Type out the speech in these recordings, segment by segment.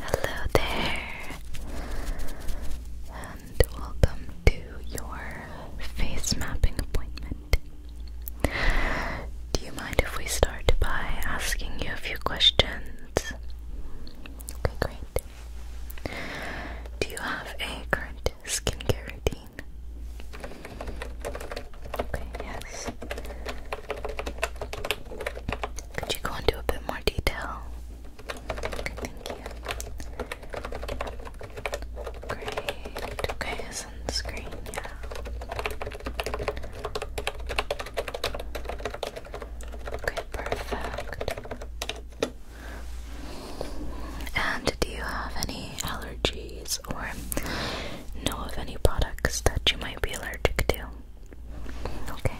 Hello there, and welcome to your face mapping appointment. Do you mind if we start by asking you a few questions? Okay, great. Do you have a current skincare routine? Okay, yes. Could you go into a bit more detail? thank you. Great. Okay, sunscreen, yeah. Okay, perfect. And do you have any allergies? or know of any products that you might be allergic to. Okay.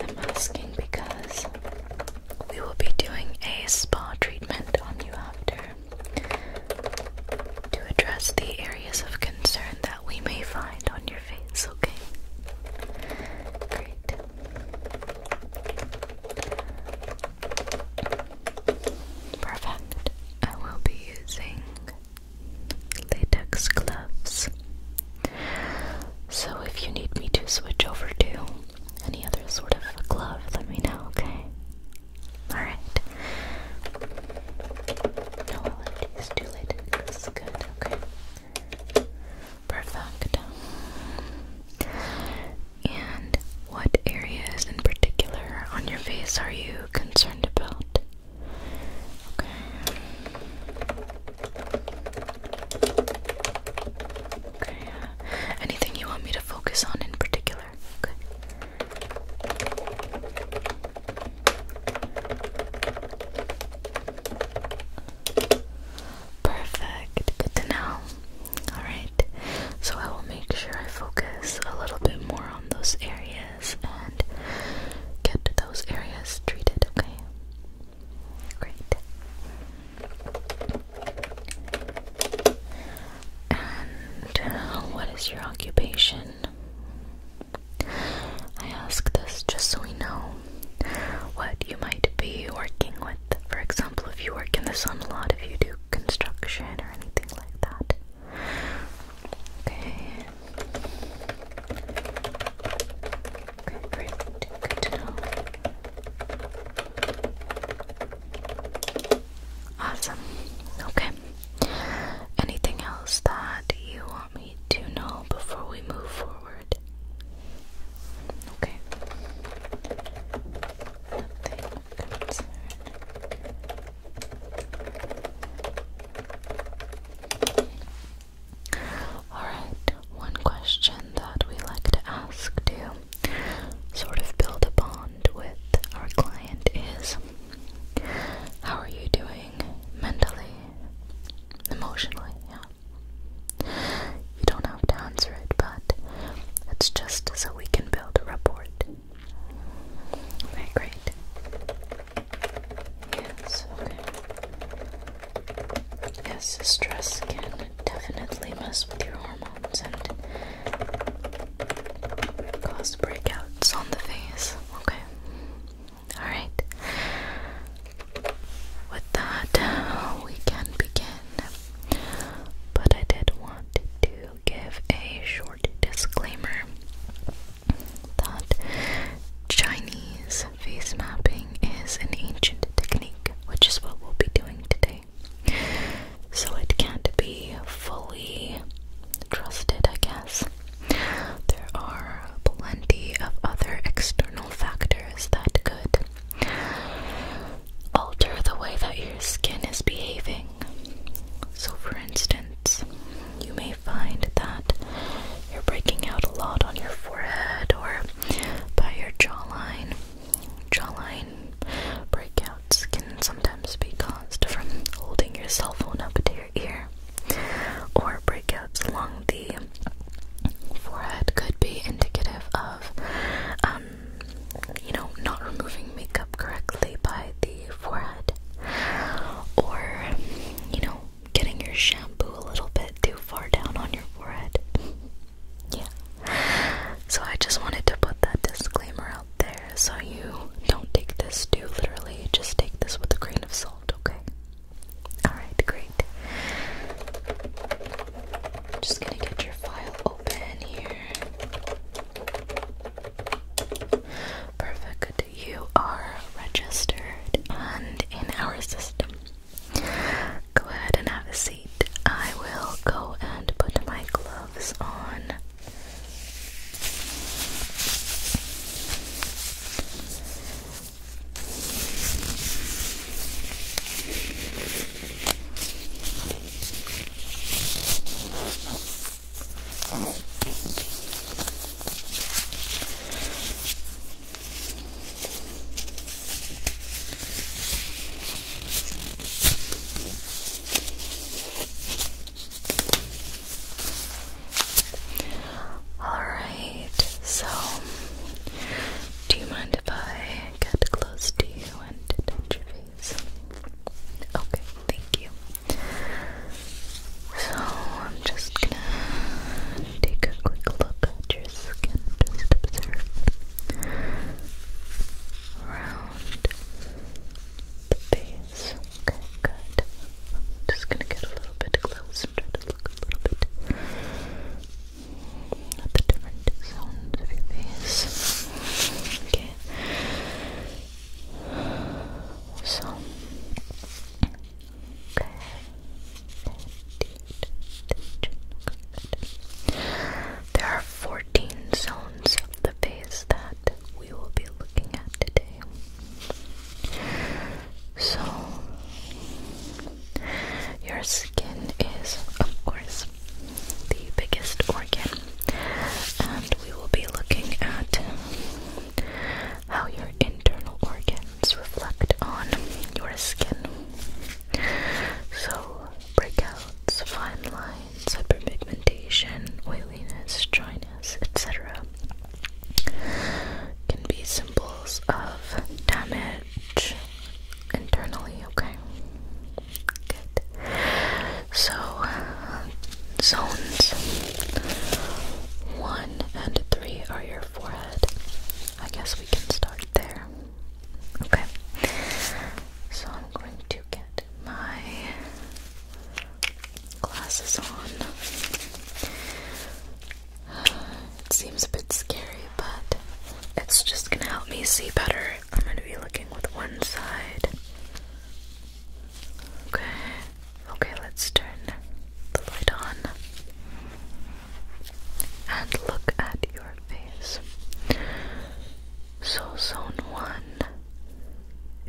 I'm asking because we will be doing a spa treatment on you after to address the areas of concern that we may find on your face, okay? Great. Perfect. I will be using latex gloves. So if you need me to switch over to any other sort of glove, let me know, okay? Alright. No allergies to latex. Good, okay. Perfect. And what areas in particular on your face are you concerned about? Okay. Okay. Uh, anything you want me to focus on in particular? Okay. Perfect. Good to know. All right. So I will make sure I focus a little bit more on those areas and get those areas treated, okay? Great. And uh, what is your occupation? I ask this just so we know what you might be working with. For example, if you work in the sun a lot, if you do construction or anything like that. Okay. Okay, great. Good to know. Awesome. Okay. Anything else that you want me to know before we move forward? Okay. Alright, one question that we like to ask to sort of build a bond with our client is how are you doing mentally? Emotionally, yeah. You don't have to answer it, but it's just so we can build a rapport. Very great. Yes, okay. Yes, stress can definitely mess with your hormones and cause breakouts on the face. Okay. Alright. With that, we can begin but I did want to give a short disclaimer that Chinese face mapping is an ancient technique, which is what we'll be doing today. So it can't be fully trusted, I guess. There are plenty of other external factors that could alter the way that your skin is behaving. So, for instance, you may find that you're breaking out a lot on your forehead or by your jawline. Jawline breakouts can sometimes be caused from holding your cell phone up to your ear, or breakouts along the forehead could be indicative of um, you know, not removing makeup correctly by the forehead, or you know, getting your shampoo a little bit too far down on your forehead. yeah. So I just wanted to put that disclaimer out there so you don't take this too literally. Just take this with a grain of salt, okay? Alright, great. just gonna get your file here. Perfect. You are registered and in our system. Go ahead and have a seat. I will go and put my gloves on. All right, so do you mind if I get close to you and touch your face? Okay, thank you. So I'm just gonna take a quick look at your skin, just observe around the face. Okay, good. just gonna get a little bit close and try to look a little bit the different zones of your face. Okay. So, okay. There are 14 zones of the face that we will be looking at today. So, your skin is, of course, the biggest organ, and we will be looking at how your internal organs reflect on your skin. So, breakouts, fine lines, hyperpigmentation, oiliness, dryness, etc. Can be symbols of damage internally, okay? Good. So, zones one and three are your forehead. I guess we can start there. Okay. So, I'm going to get my glasses on. it seems a bit scary, but it's just gonna help me see better I'm going to be looking with one side. Okay. Okay, let's turn the light on. And look at your face. So, zone one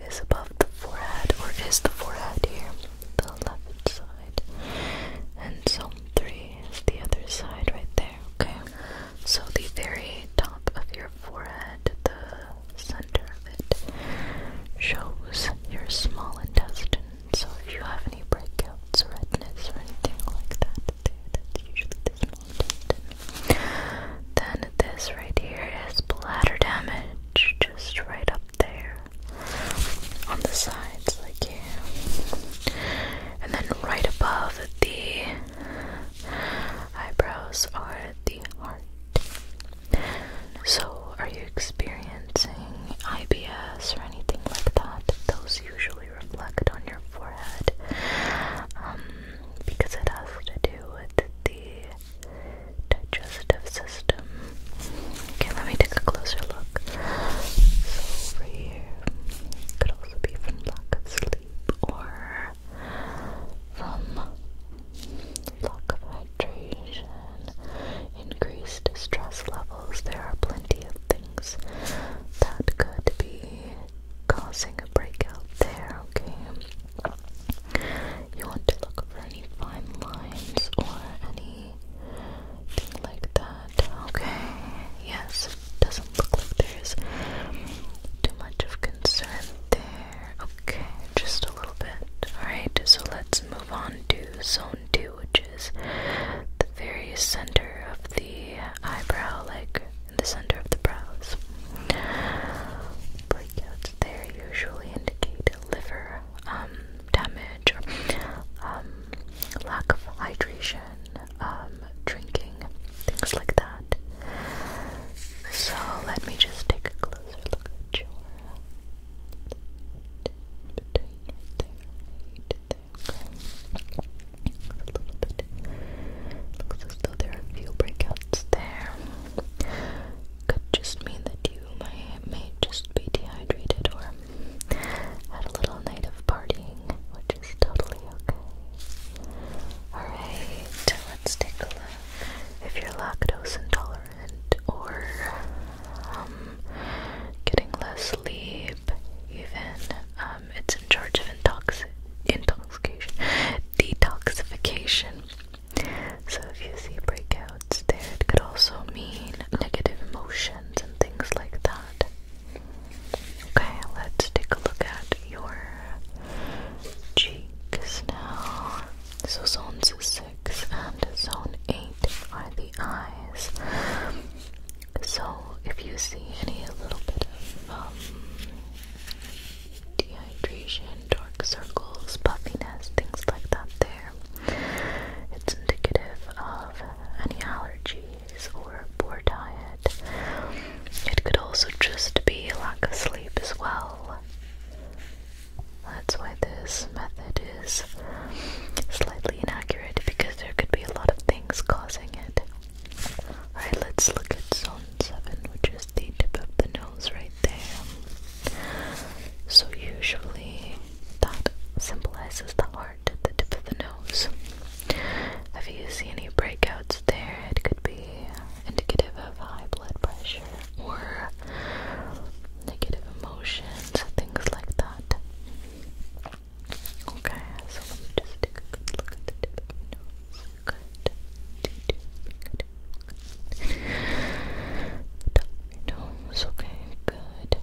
is above the forehead, or is the forehead here, the left side. And zone three is the other side right there okay? So, the very top of your forehead, the center of it, shows your small intestine. So, if you have any breakouts, redness, or anything like that, that's usually the small intestine. Then, this right here is bladder damage, just right up there on the sides, like here. And then right above the eyebrows are the heart. So, are you experiencing IBS or anything like that? Those usually reflect on your forehead um, because it has to do with the digestive system. Okay, let me take a closer look. So, over it could also be from lack of sleep or from lack of hydration, increased stress levels. There are plenty of things that could be causing a breakout there, okay? You want to look for any fine lines or anything like that. Okay. Yes, doesn't look like there's too much of concern there. Okay, just a little bit. Alright, so let's move on to zone two, which is the very center of the eyebrow, like in the center of the brows. Breakouts there usually indicate liver um, damage or um, lack of hydration um, drinking, things like that. So let me just take a closer look at your between there, right there. A little bit. there are a few breakouts there. Could just mean that you may may just be dehydrated or had a little night of partying, which totally okay. Alright, let's take a look. If you're lactose intolerant or um, getting less sleep, even, um, it's in charge of intox intoxication, detoxification. So if you see breakouts there, it could also mean negative emotions and things like that. Okay, let's take a look at your cheeks now. So, zones 6 and zone 8 are the eyes. So, if you see any little bit of um, dehydration, dark circles, puffiness, things like that, there, it's indicative of any allergy or poor diet. It could also just be lack of sleep as well. That's why this method is slightly inaccurate because there could be a lot of things causing it. Alright, let's look at zone 7, which is the tip of the nose right there. So, usually that symbolizes the heart at the tip of the nose. If you see any breakouts there, it could be indicative of high blood pressure or negative emotions, things like that. Okay, just look at the tip of the nose. Good. Good. Good. nose. Okay, good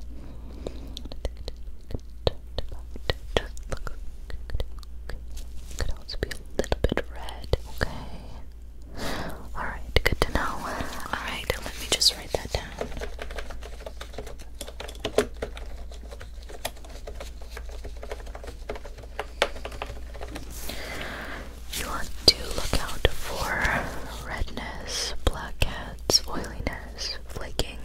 could also be a little bit red, okay? Alright, good to know. Alright, let me just write that down. You want to look out for redness, blackheads, oiliness flaking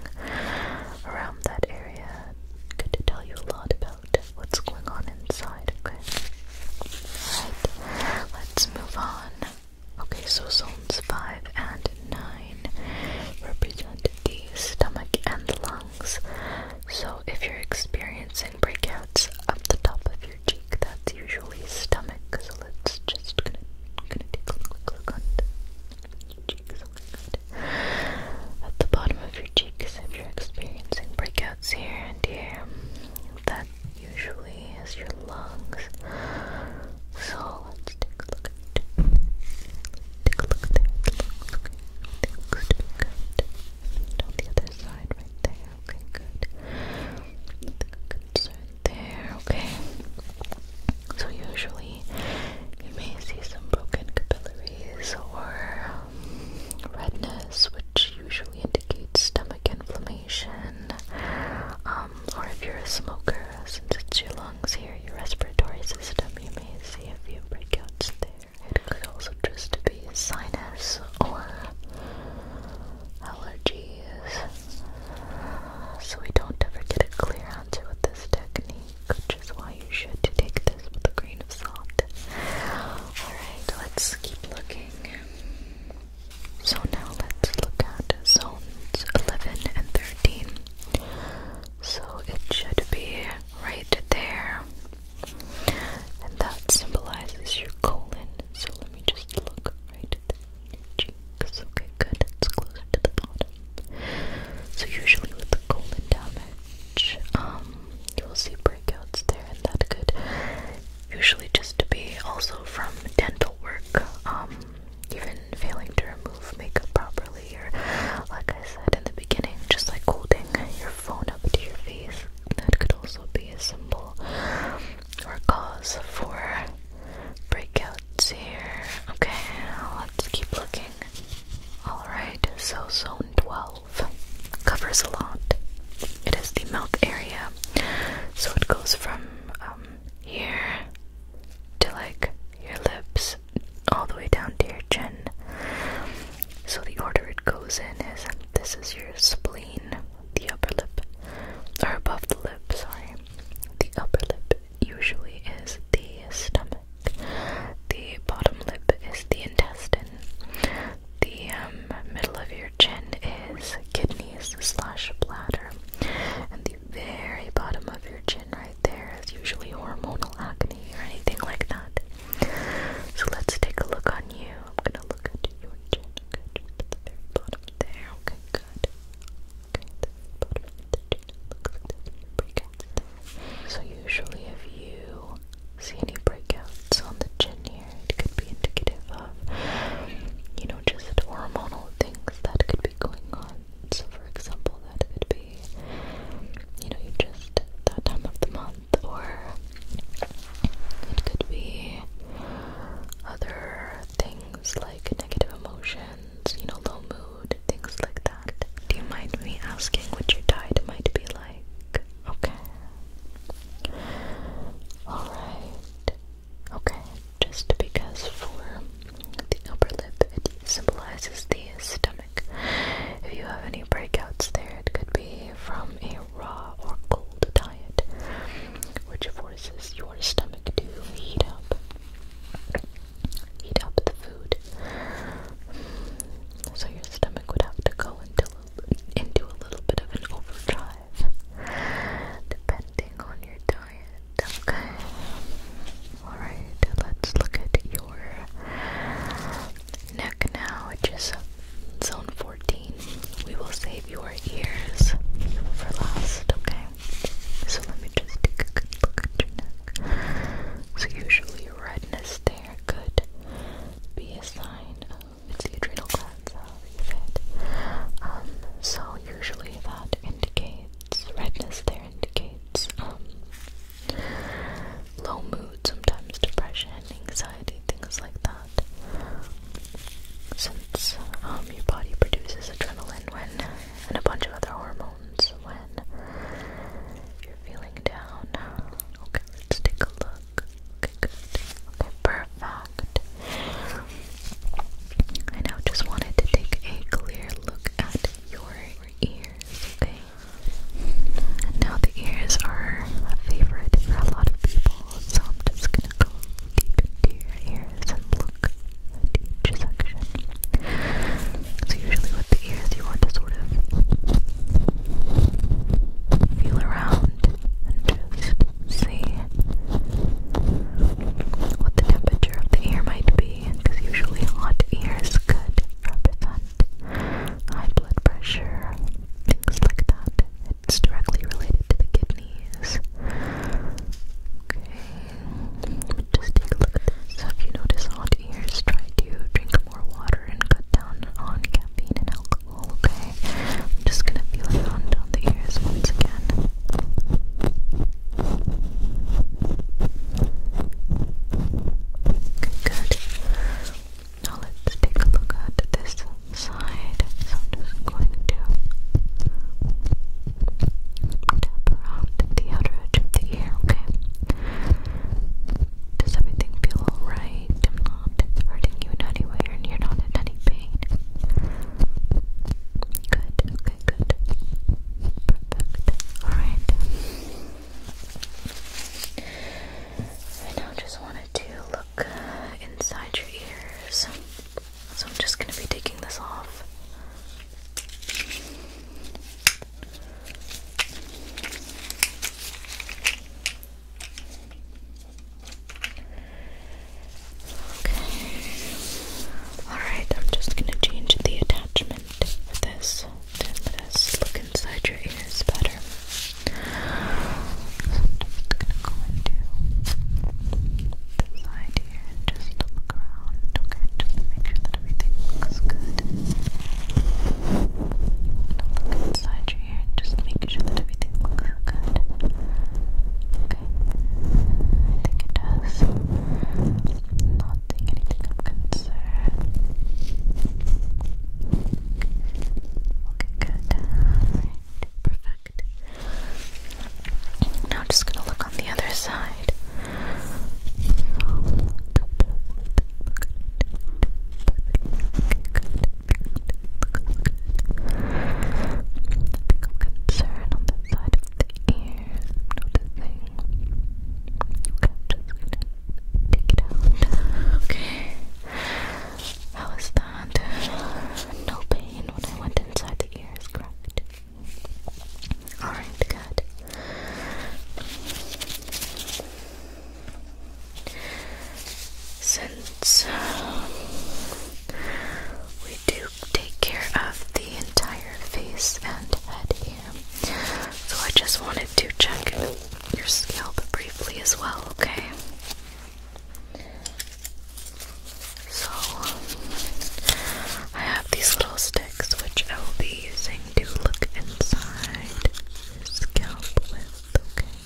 around that area. Good tell you a lot about what's going on inside, okay? Alright, let's move on. Okay, so zones 5 and 9 represent the stomach and lungs. So if you're experiencing breakouts up the top of your cheek, that's usually stomach. So let's just gonna, gonna take a quick look on your cheeks. At the bottom of your cheeks, if you're experiencing breakouts here and here, that usually is your lungs. So let's take a look at Take a look there at the lungs. Okay. Good, good. And on the other side, right there. Okay, good. Good, right there. Okay. So usually you may see some broken capillaries or um, redness, which usually indicates stomach inflammation. Um, or if you're a smoker, since it's your lungs here, your respiratory system, you may see a few breakouts there. It could also just be sinus or allergies. So we don't ever get a clear answer with this technique which is why you should take this with a grain of salt. Alright, let's keep looking. So now let's look at zones 11 and 13. So it should be right there. And that symbolizes your colon. So let me just look right at the six. Okay, good. It's close to the bottom. So usually with the colon damage, um, you will see breakouts there, and that could usually just be also from dental work, um, even failing to remove makeup properly, or like I said in the beginning, just like holding your phone up to your face. That could also be a symbol or cause for breakouts here. Okay, let's keep looking. Alright, so zone 12 covers a lot. It is the mouth area. So it goes from um, here to like your lips all the way down to your chin. So the order it goes in is this is your spleen, the upper lip, or above the lip, sorry. The upper lip usually is the stomach. The bottom lip is the intestine. The um, middle of your chin is kidneys slash bladder. And the very bottom of your chin right there is usually hormonal acne or anything like that. So let's take a look on you. I'm gonna look at your chin. very bottom there. Okay, good. So usually if you see any breakouts on the chin here, it could be indicative of, you know, just hormonal things that could be going on. So for example, that could be, you know, you just, that time of the month, or it could be other things like negative emotions, you know, low mood things like that. Do you mind me asking what your diet might be like? Okay. Alright. Okay, just because for the upper lip it symbolizes the stomach. If you have any breakouts there, it could be from a raw or cold diet, which forces your stomach to heat up heat up the food. So your stomach would have to go into into a little bit of an overdrive, depending on your diet. Okay. All right. Let's look at your neck now, which zone 14. We will save your ears for last. Okay. So let me just take a good look at your neck. So usually redness there could be a sign of the adrenal glands, however you say um, so usually that indicates redness there indicates um, low mood, sometimes depression, anxiety, things like that. Since um, your body produces adrenaline when and a bunch of other hormones when you're feeling down. Okay, let's take a look. perfect. I now just wanted to take a clear look at your ears, now the ears are a favorite for a lot of people, so I'm just gonna go deep into your ears and look that's usually with the ears you want to sort of feel around and just see what the temperature of the ear might be because usually hot ears could represent high blood pressure, things like that. It's directly related to the kidneys. Okay, just take a look at this. you noticed hot ears? Try to drink more water and cut down on caffeine and alcohol, okay? I'm just gonna feel it on down the ears once again. good. Now let's take a look at this side. So I'm just going to Tap around the outer edge of the ear, okay? Does everything feel alright? i hurting you in any way and you're not in any pain. Good, okay, good. Perfect. Alright. I now just wanted to look inside your ears. So I'm just going to be taking this off. Okay. Alright, I'm just going to change the attachment for this to look inside your ears better. I'm going to go into the side here and just look around, okay? Just make sure that everything looks good. look inside your ear and just make sure that everything looks good. Okay? I think it does. Not think anything of concern. Okay, good. Perfect. Now I'm just gonna look on the other side. Concern on the side of the ear. Noticing. Okay, I'm that? No pain when I went inside the ears, Alright, good. Since um, we do take care of the entire face and head here, so I just wanted to check your scalp briefly as well, okay? So, I have these little sticks which I will be using to look inside this scalp with, okay?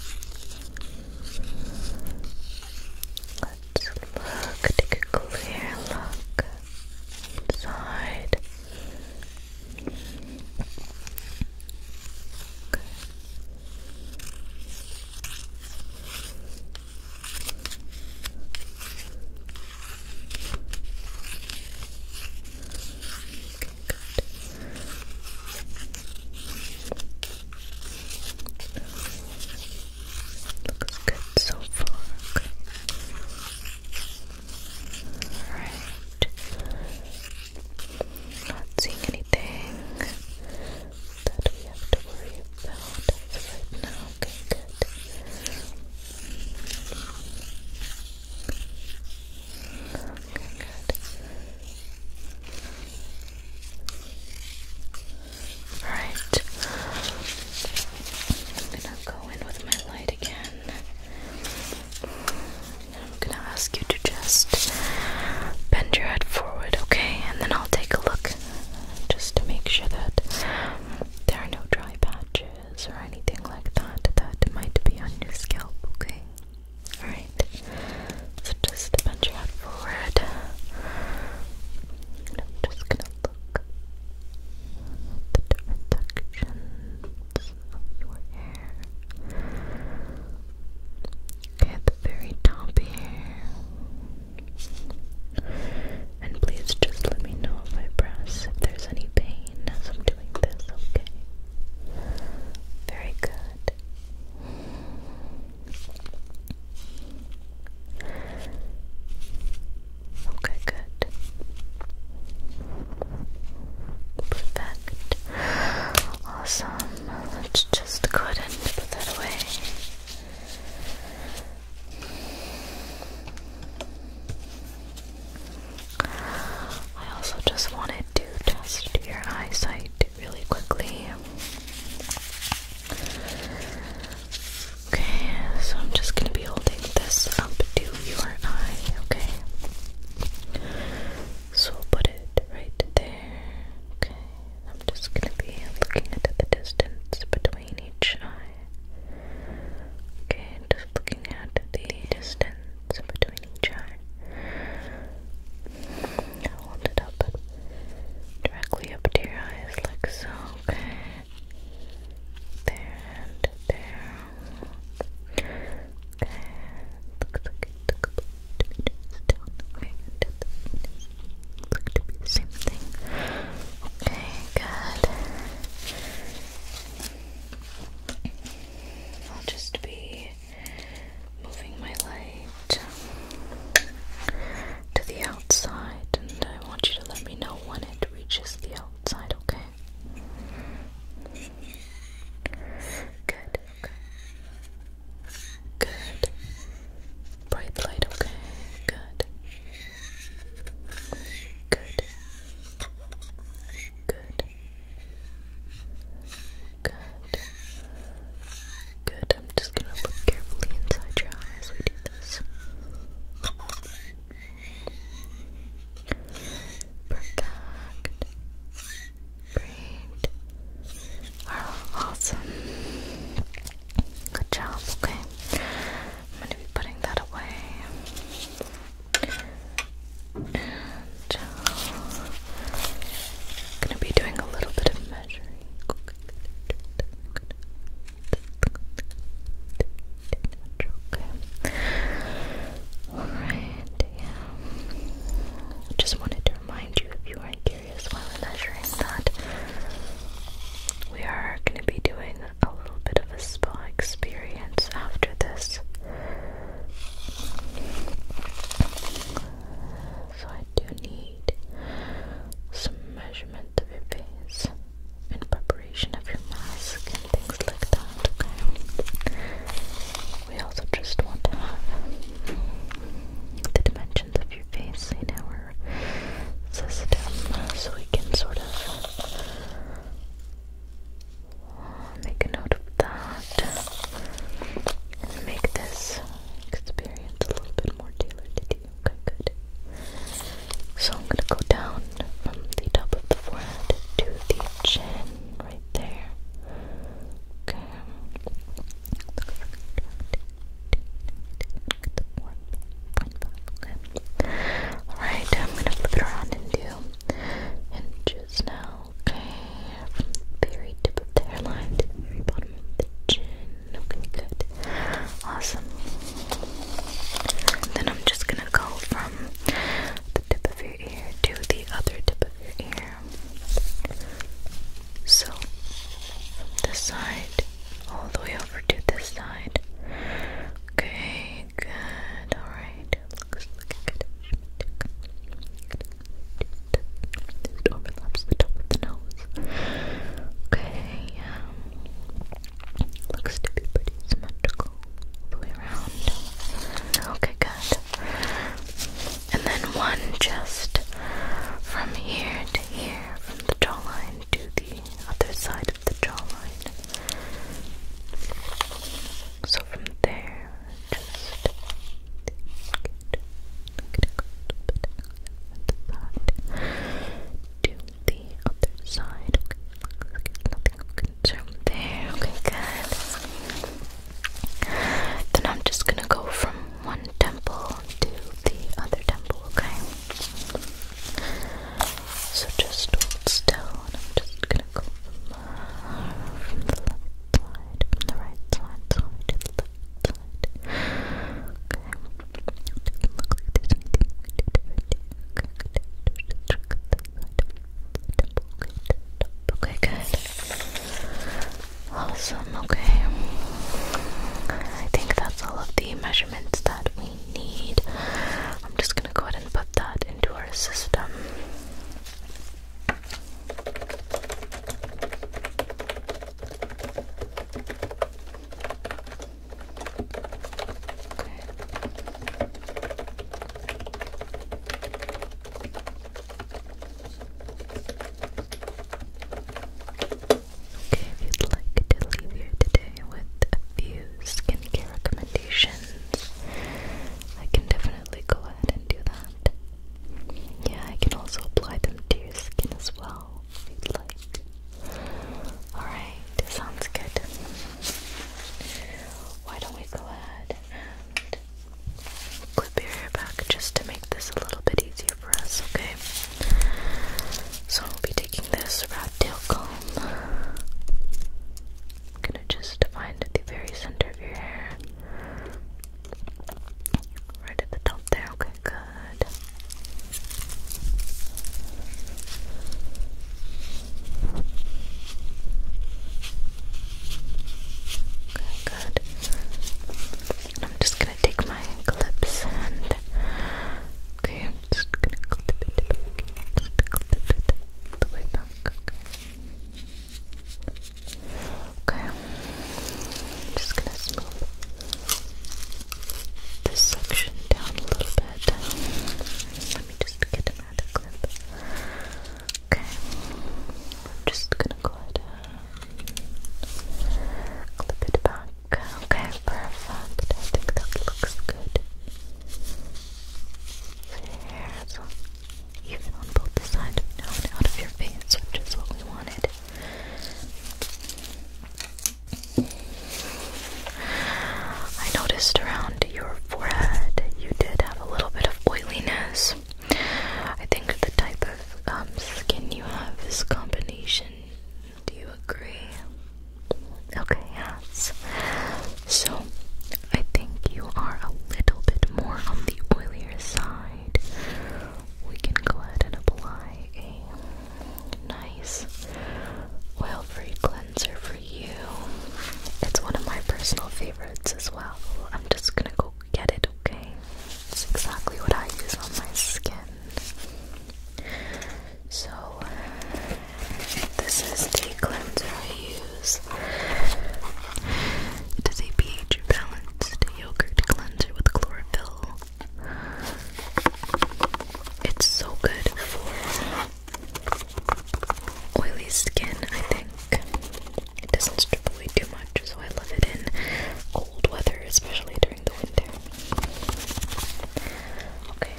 Let's look, clear look inside. Looks good so far. Okay. Not seeing anything that we have to worry about right now. Okay, good. Okay, good. Alright. I'm gonna go in with my light again. I'm gonna ask you to just bend your head forward, okay? And then I'll take a look just to make sure that there are no dry patches or anything like that that might be on your scalp, okay? Alright, so just bend your head forward. I'm just gonna look at the different sections of your hair. at the very top here. And please just let me know if I press, if there's any pain as I'm doing this, okay? Very good. Okay, good. Perfect. Awesome. Let's just go ahead and put that away. I also just wanted to test your eyesight really quickly. Okay, so I'm just gonna be holding this up to your eye, okay? So we'll put it right there. Okay, I'm just gonna be looking at the distance between roughly in each eye. Okay, just looking at the distance between each eye. hold it up directly up to your eyes, like so. Okay, there and there. Okay, looks like it took about two meters down. Okay, and Look to be the same thing. Okay, good. I'll just be moving my light to the outside, and I want you to let me know when it reaches the outside, okay? Good, Good. Bright light, okay. Good. Good. Good. Good. Good. I'm just gonna look carefully inside your eye we do this. Perfect. Great. Wow, awesome. Good job, okay. I'm going to be putting that away. And I'm uh, going to be doing a little bit of measuring. Okay. Alright, yeah. Just wanted to remind you if you are here series while i measuring that. We are going to be doing a little bit of a spa experience after this. So I do need some measurement of your face in preparation of your mask and things like that, We also just want to have the dimensions of your face, you know, system so we can sort of make a note of that make this experience a little bit more tailored to you. Okay, good. So I'm going to go down from the top of the forehead to the chin right there. Okay. Alright, I'm gonna flip it around into inches now. Okay, from very tip of the hairline to very bottom of the chin. Okay, good. Awesome. then I'm just gonna go from the tip of your ear to the other tip of your ear. So, this side all the way over to this side. Okay, good. Alright, looks looking good. It overlaps the top of the nose. Okay, um, looks to be pretty symmetrical all the way around. Okay, good. And then one just from here to here, the jawline to the other side of the jawline. So from there, just get, get side to the other side. Okay, there. Okay, good. Then I'm just gonna go from one temple to the other temple, okay? So just hold still, I'm just gonna go from, the left side, from the right side, to the left side. okay, good. Awesome, okay. I think that's all of the measurements that we need. I'm just gonna go ahead and put that into our system. If you'd like to leave here today with a few skincare recommendations, I can definitely go ahead and do that. Yeah, I can also apply them to your skin as well if you'd like. Alright, sounds good. Why don't we go ahead and clip your hair back just to make this a little bit easier okay? So I'll be taking this rat tail comb. I'm gonna just find the very center of your hair. Right at the top there, okay, good. Okay, good. I'm just gonna take my clips and okay, just gonna clip it back, just clip it the way back. Okay, I'm just gonna smooth this section down a little bit. Let me just get another clip. Okay, I'm just gonna go Clip it back. Okay, perfect. I think that looks good. There's even on both sides, now and out of your face, which is what we wanted. I noticed around your forehead you did have a little bit of oiliness. I think the type can um, you have this combination. Do you agree? Okay, yes. So, I think you are a little bit more on the oilier side. We can go ahead and apply a nice oil free cleanser for you. It's one of my personal favorites as well. I'm just gonna go get it, okay? It's exactly what I use on my skin. So, this is the cleanser I use. It is a pH balanced yogurt cleanser with chlorophyll. It's so good for oily skin, I think. It doesn't strip away too much, so I love it in cold weather, especially during the winter. Okay.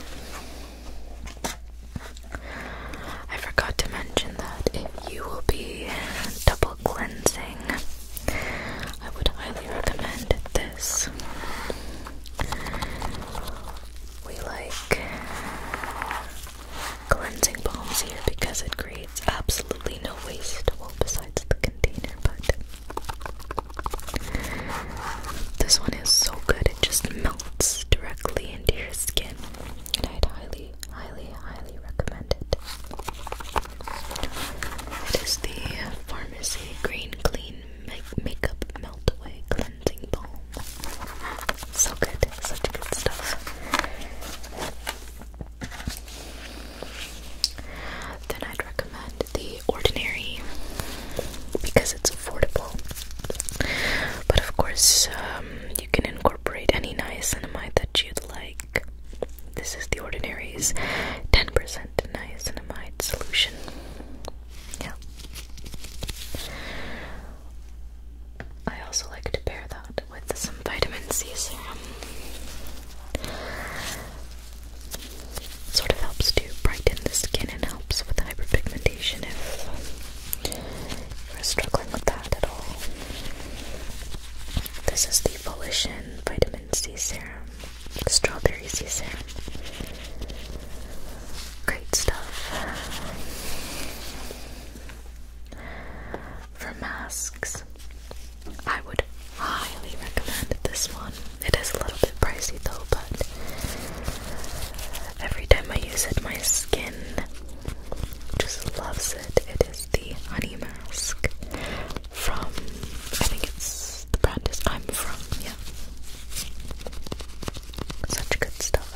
I forgot to mention that if you will be double cleansing, I would highly recommend this. We like cleansing balms here because it creates it's absolutely no waste, well, besides the container, but this one is so good, it just melts directly into your skin, and I'd highly, highly, highly recommend it. It is the Pharmacy Green Clean Makeup Melt Cleansing Balm. So good, such good stuff. Then I'd recommend the Ordinary because it's affordable. But of course, um, you can incorporate any niacinamide that you'd like. This is the Ordinary's 10% niacinamide solution. Yeah. I also like to pair that with some vitamin C serum. Sort of helps to brighten the skin and helps with hyperpigmentation if you're struggling with that at all. This is the Volition Vitamin C Serum, Strawberry C Serum. Great stuff. For masks, I would highly recommend this one. It is a little bit pricey though, but every time I use it, my skin just loves it. It is the Honey Mask from, I think it's the brand is I'm From, yeah. Such good stuff.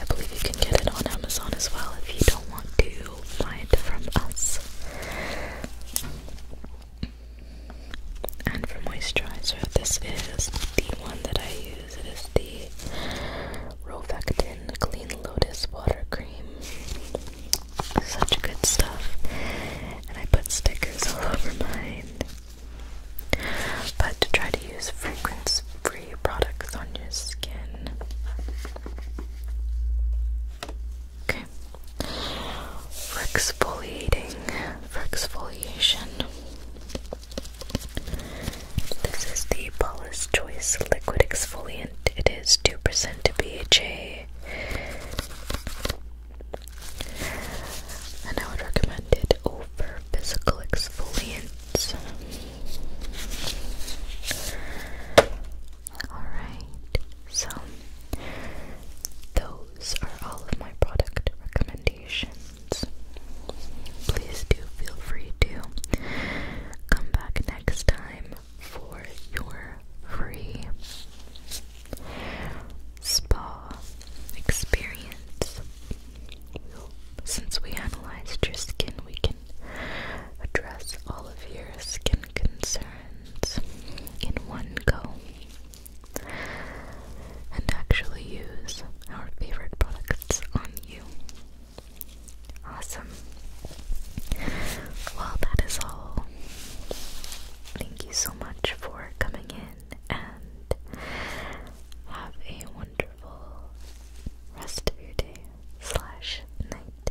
I believe you can get it on Amazon as well if you don't want to find from us. And for moisturizer, this is the one that I use. It is the Rovectin Clean Lotus Water Cream. Such good stuff. And I put stickers all over mine. But to try to use fragrance free products on your skin. Okay. exfoliating, exfoliation, this is the Paula's Choice Liquid Exfoliant. It is 2% BHA. And I would recommend it over physical exfoliants. Alright, so those are all of my product recommendations. Please do feel free to come back next time for your free spa experience. Since we analyzed your skin, we can Address all of your skin concerns in one go. And actually use our favorite products on you. Awesome. Well, that is all. Thank you so much for coming in and have a wonderful rest of your day slash night.